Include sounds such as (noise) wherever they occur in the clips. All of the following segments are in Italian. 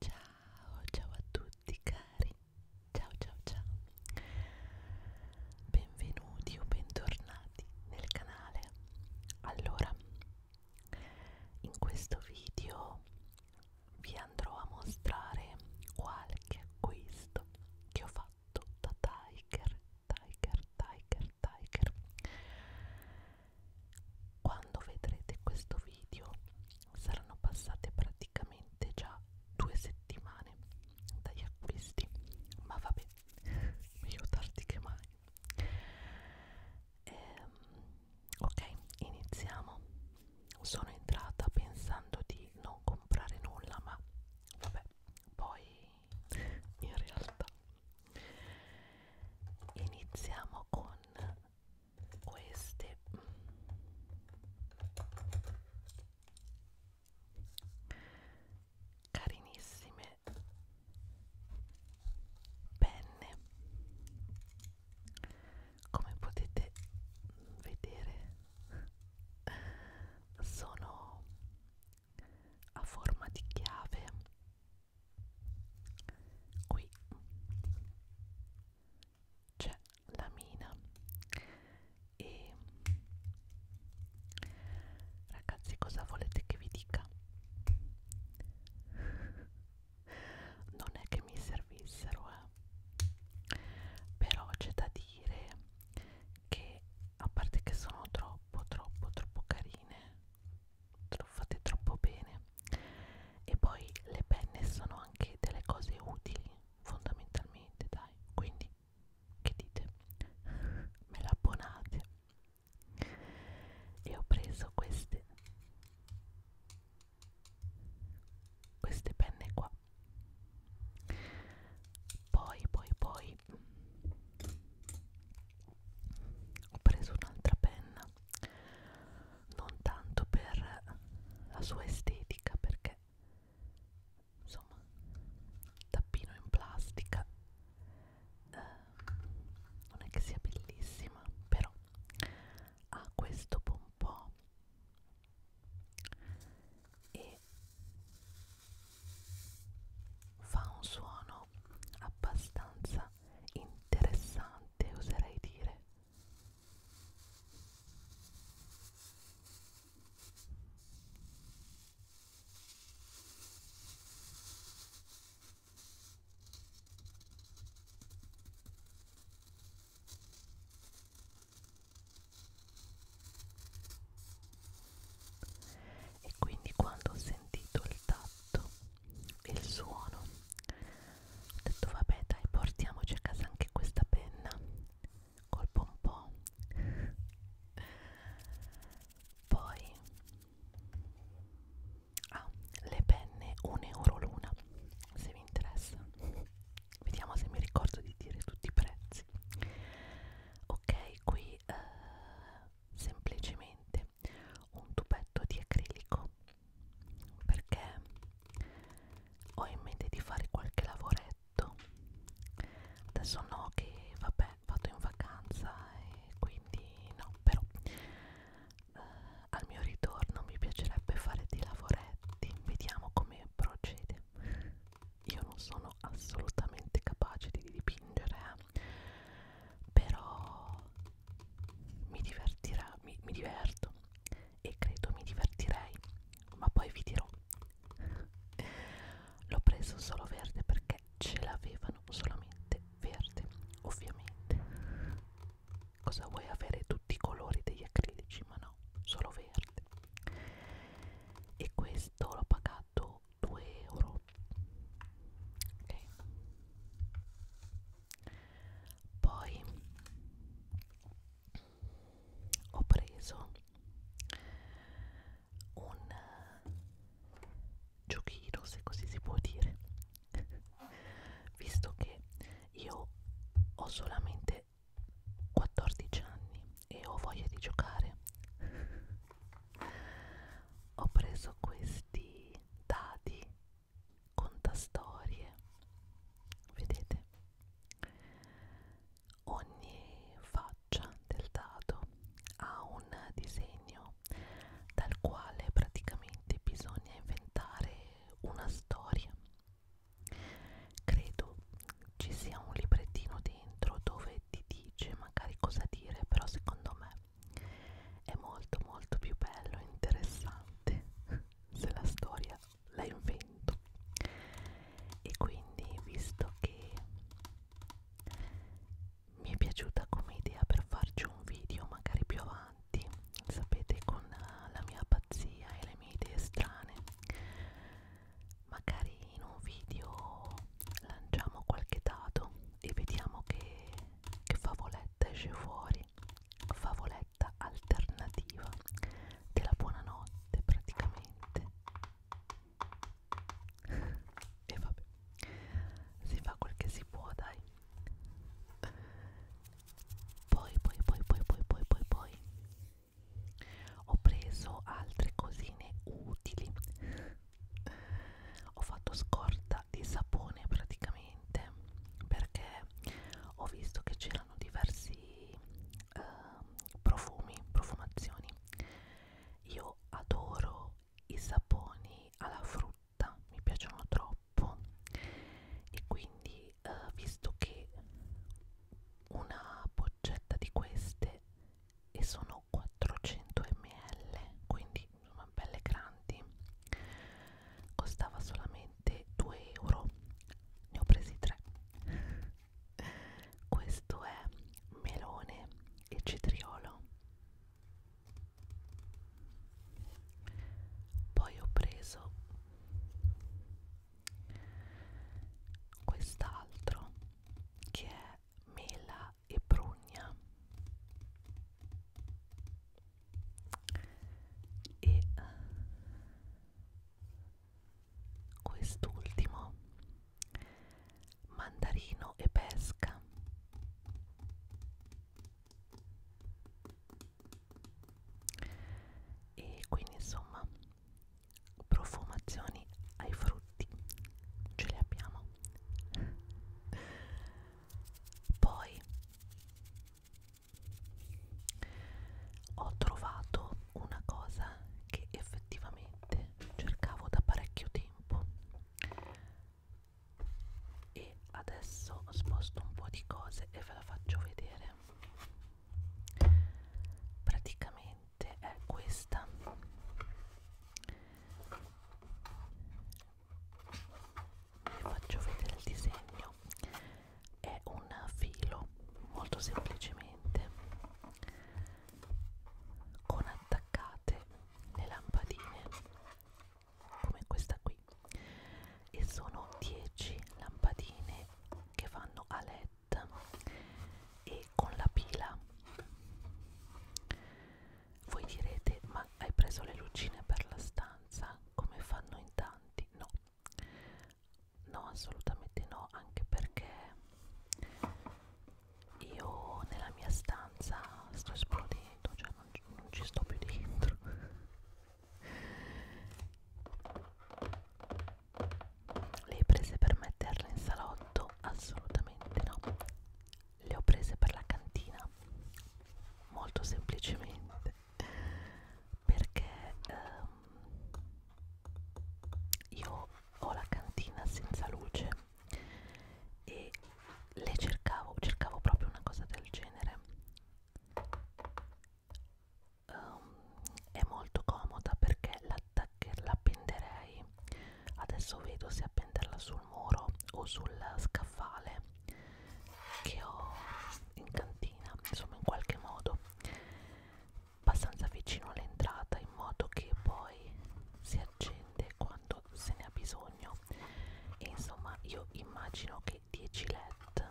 Ciao, ciao a tutti cari, ciao ciao ciao, benvenuti o bentornati nel canale. Allora, in questo video vi andrò a mostrare qualche acquisto che ho fatto da Tiger, Tiger, Tiger, Tiger quando vedrete questo video saranno passate praticamente già due settimane dagli acquisti ma vabbè meglio tardi che mai ehm, ok iniziamo sono entrata pensando di non comprare nulla ma vabbè poi in realtà iniziamo con queste carinissime penne come potete vedere sono a forma di chiave qui c'è la mina e ragazzi cosa volete che vi dica non è che mi servissero eh. però c'è da dire che a parte che sono troppo troppo troppo carine fate troppo bene e poi le penne sono anche delle cose utili fondamentalmente dai quindi che dite me la abbonate e ho preso queste queste penne qua poi poi poi ho preso un'altra penna non tanto per la sua estetica perché insomma tappino in plastica eh, non è che sia bellissima però ha questo pompò e fa un suono no, abbastanza interessante oserei dire. E quindi quando ho sentito il tatto il suono ho detto vabbè dai portiamoci a casa anche questa penna colpo un po' poi ah, le penne 1 euro l'una se vi interessa vediamo se mi ricordo di dire tutti i prezzi ok qui eh, semplicemente un tubetto di acrilico perché ho in mente di fare qualche lavoretto adesso no che vabbè vado in vacanza e quindi no però eh, al mio ritorno mi piacerebbe fare dei lavoretti vediamo come procede io non sono assolutamente capace di dipingere eh. però mi divertirà, mi, mi diverto e credo mi divertirei, ma poi vi dirò. L'ho preso solo verde perché ce l'avevano solamente verde, ovviamente. Cosa vuoi avere tutti i colori degli acrilici? Ma no, solo verde. E questo l'ho pagato 2,99 euro però ok poi ho preso un giochino se così si può dire visto che io ho solamente 14 anni e ho voglia di giocare ho preso questi dadi, contastorie, vedete? Ogni faccia del dado ha un disegno dal quale praticamente bisogna inventare una storia. Credo ci sia un librettino dentro dove ti dice magari cosa dire, però secondo me è molto molto più bello e interessante (laughs) se la storia la invento e quindi visto che mi è piaciuta come idea per farci un video magari più avanti sapete con la mia pazzia e le mie idee strane magari in un video lanciamo qualche dato e vediamo che, che favola favoletta esce fuori, favoletta alternativa della buonanotte praticamente. e vabbè, si fa quel che si può, dai. Poi, poi, poi, poi, poi, poi, poi, poi ho preso altre cosine utili ho fatto scorta di sapone praticamente perché ho visto che c'erano diversi eh, profumi, profumazioni. Io adoro i saponi alla frutta, mi piacciono troppo e quindi eh, visto che una boccetta di queste e sono 400 ml quindi insomma belle grandi costava solamente 2 euro ne ho presi 3 (laughs) questo è melone e cetriolo poi ho preso quest'altro che è mela e prugna e eh, quest'ultimo mandarino e pesca e quindi insomma profumazioni ai frutti ce le abbiamo poi ho trovato una cosa che effettivamente cercavo da parecchio tempo e adesso sposto un po' di cose e ve la faccio vedere praticamente è questa vi faccio vedere il disegno è un filo molto semplicemente con attaccate le lampadine come questa qui e sono 10 lampadine che fanno a led e con la pila voi direte, ma hai preso le lucine per la stanza come fanno in tanti? No, no, assolutamente no, anche perché io nella mia stanza sto esplodendo, cioè non, non ci sto più dentro. Le hai prese per metterle in salotto? Assolutamente no le ho prese per la cantina molto semplicemente perché ehm, io ho la cantina senza luce e le cercavo cercavo proprio una cosa del genere um, è molto comoda perché l'appenderei adesso vedo se appenderla sul muro o sul scaffale che ho in cantina insomma in qualche modo abbastanza vicino all'entrata in modo che poi si accende quando se ne ha bisogno e insomma io immagino che 10 led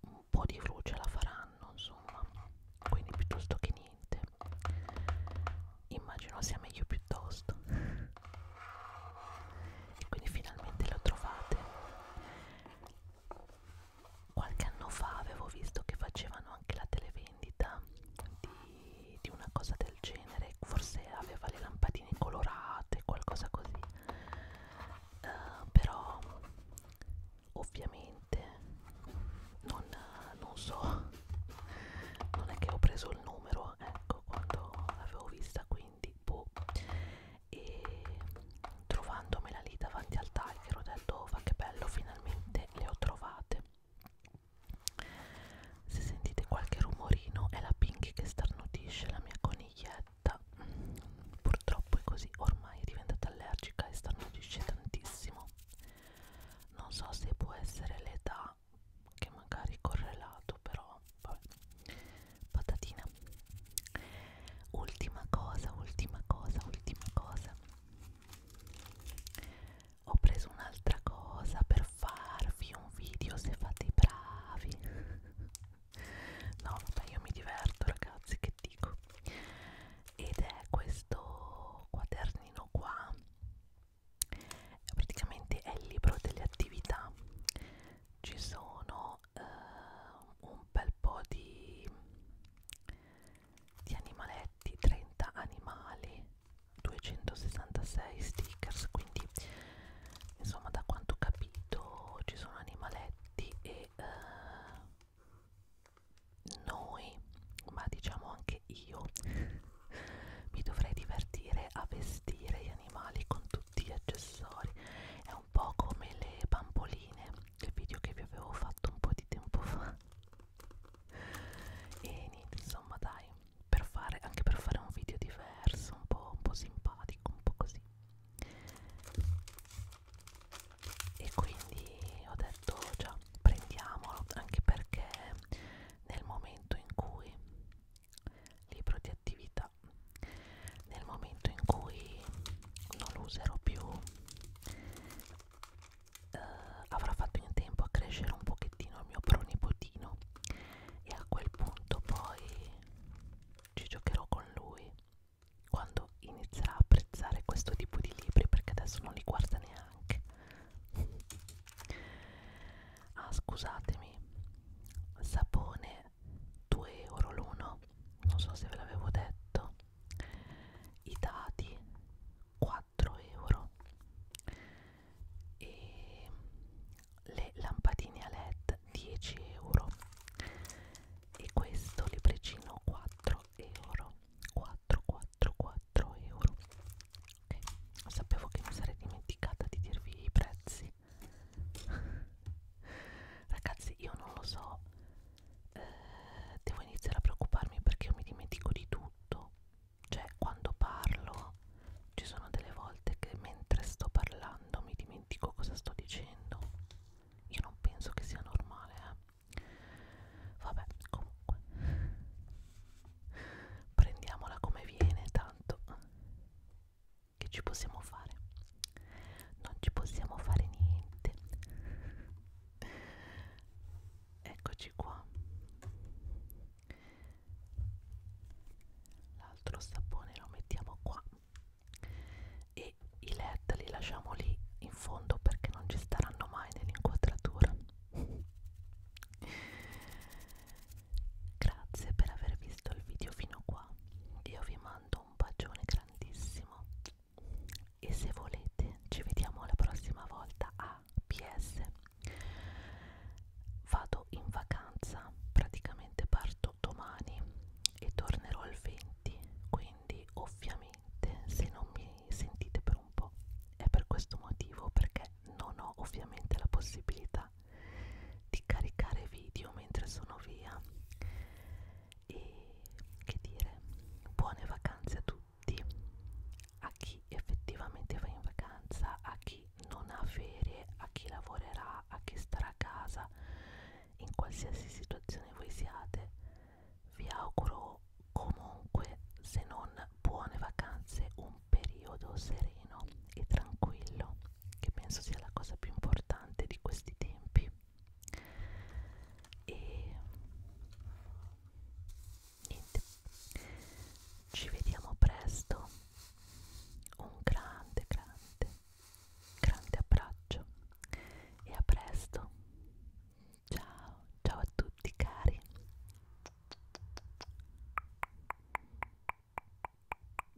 un po' di luce la faranno insomma quindi piuttosto che niente immagino sia meglio piuttosto quindi finalmente lo trovate qualche anno fa avevo visto che facevano anche la televendita di, di una cosa del genere forse aveva le lampadine colorate qualcosa così uh, però ovviamente non, non so non è che ho preso il numero ecco quando l'avevo vista qui quindi boh e trovandomela lì davanti al tiger ho detto va oh, che bello finalmente le ho trovate se sentite qualche rumorino è la Pinky che starnutisce la mia coniglietta purtroppo è così ormai è diventata allergica e starnutisce tantissimo non so se può essere l'età che magari correlato però vabbè. patatina ultima cosa ultima cosa ultima cosa ho preso un'altra cosa per farvi un video se fate i bravi (laughs) no vabbè io mi diverto ragazzi che dico ed è questo quadernino qua praticamente è il libro delle attività ci sono eh, un bel po' di, di animaletti, 30 animali, 266 stickers, quindi insomma da quanto ho capito ci sono animaletti e eh, noi, ma diciamo anche io, (laughs) mi dovrei divertire a vestire gli animali con tutti tutti gli accessori è un po' come le bamboline il video che vi avevo fatto un po' di tempo fa e niente insomma dai per fare anche per fare un video diverso un po', un po' simpatico un po' così e quindi ho detto già prendiamolo anche perché nel momento in cui libro di attività nel momento in cui non lo userò più eh, avrà fatto in tempo a crescere un pochettino il mio pronipotino e a quel punto poi ci giocherò con lui quando inizierà a apprezzare questo tipo di libri perché adesso non li guarda neanche ah scusatemi sapone 2 euro l'uno non so se ve l'avevo detto i dati 4 euro e le lampadine a led 10 euro e questo libricino 4 euro 4 4 4 euro ok sapevo che mi sarei dimenticata di dirvi i prezzi ragazzi (laughs) ragazzi io non lo so eh, devo iniziare a preoccuparmi perché io mi dimentico di tutto cioè quando parlo ci sono delle volte che mentre sto parlando mi dimentico cosa sto dicendo io non penso che sia normale eh. vabbè comunque prendiamola come viene tanto che ci possiamo fare? Non ci possiamo fare niente. Eccoci qua. L'altro sapone lo mettiamo qua e i led li lasciamo lì in fondo perché non ci staranno mai nell'inquadratura Grazie per aver visto il video fino qua. Io vi mando un bacione grandissimo. E se volete, ci vediamo la prossima volta a PS. Vado in vacanza, praticamente parto domani e tornerò il 20. Quindi, ovviamente, se non mi sentite per un po', è per questo motivo perché non ho ovviamente la possibilità di caricare video mentre sono via e che dire buone vacanze a tutti a chi effettivamente va in vacanza a chi non ha ferie a chi lavorerà a chi starà a casa in qualsiasi situazione voi siate vi auguro comunque se non buone vacanze un periodo sereno e tranquillo che penso sia la cosa più importante di questi tempi e niente ci vediamo presto un grande grande grande abbraccio e a presto ciao ciao a tutti cari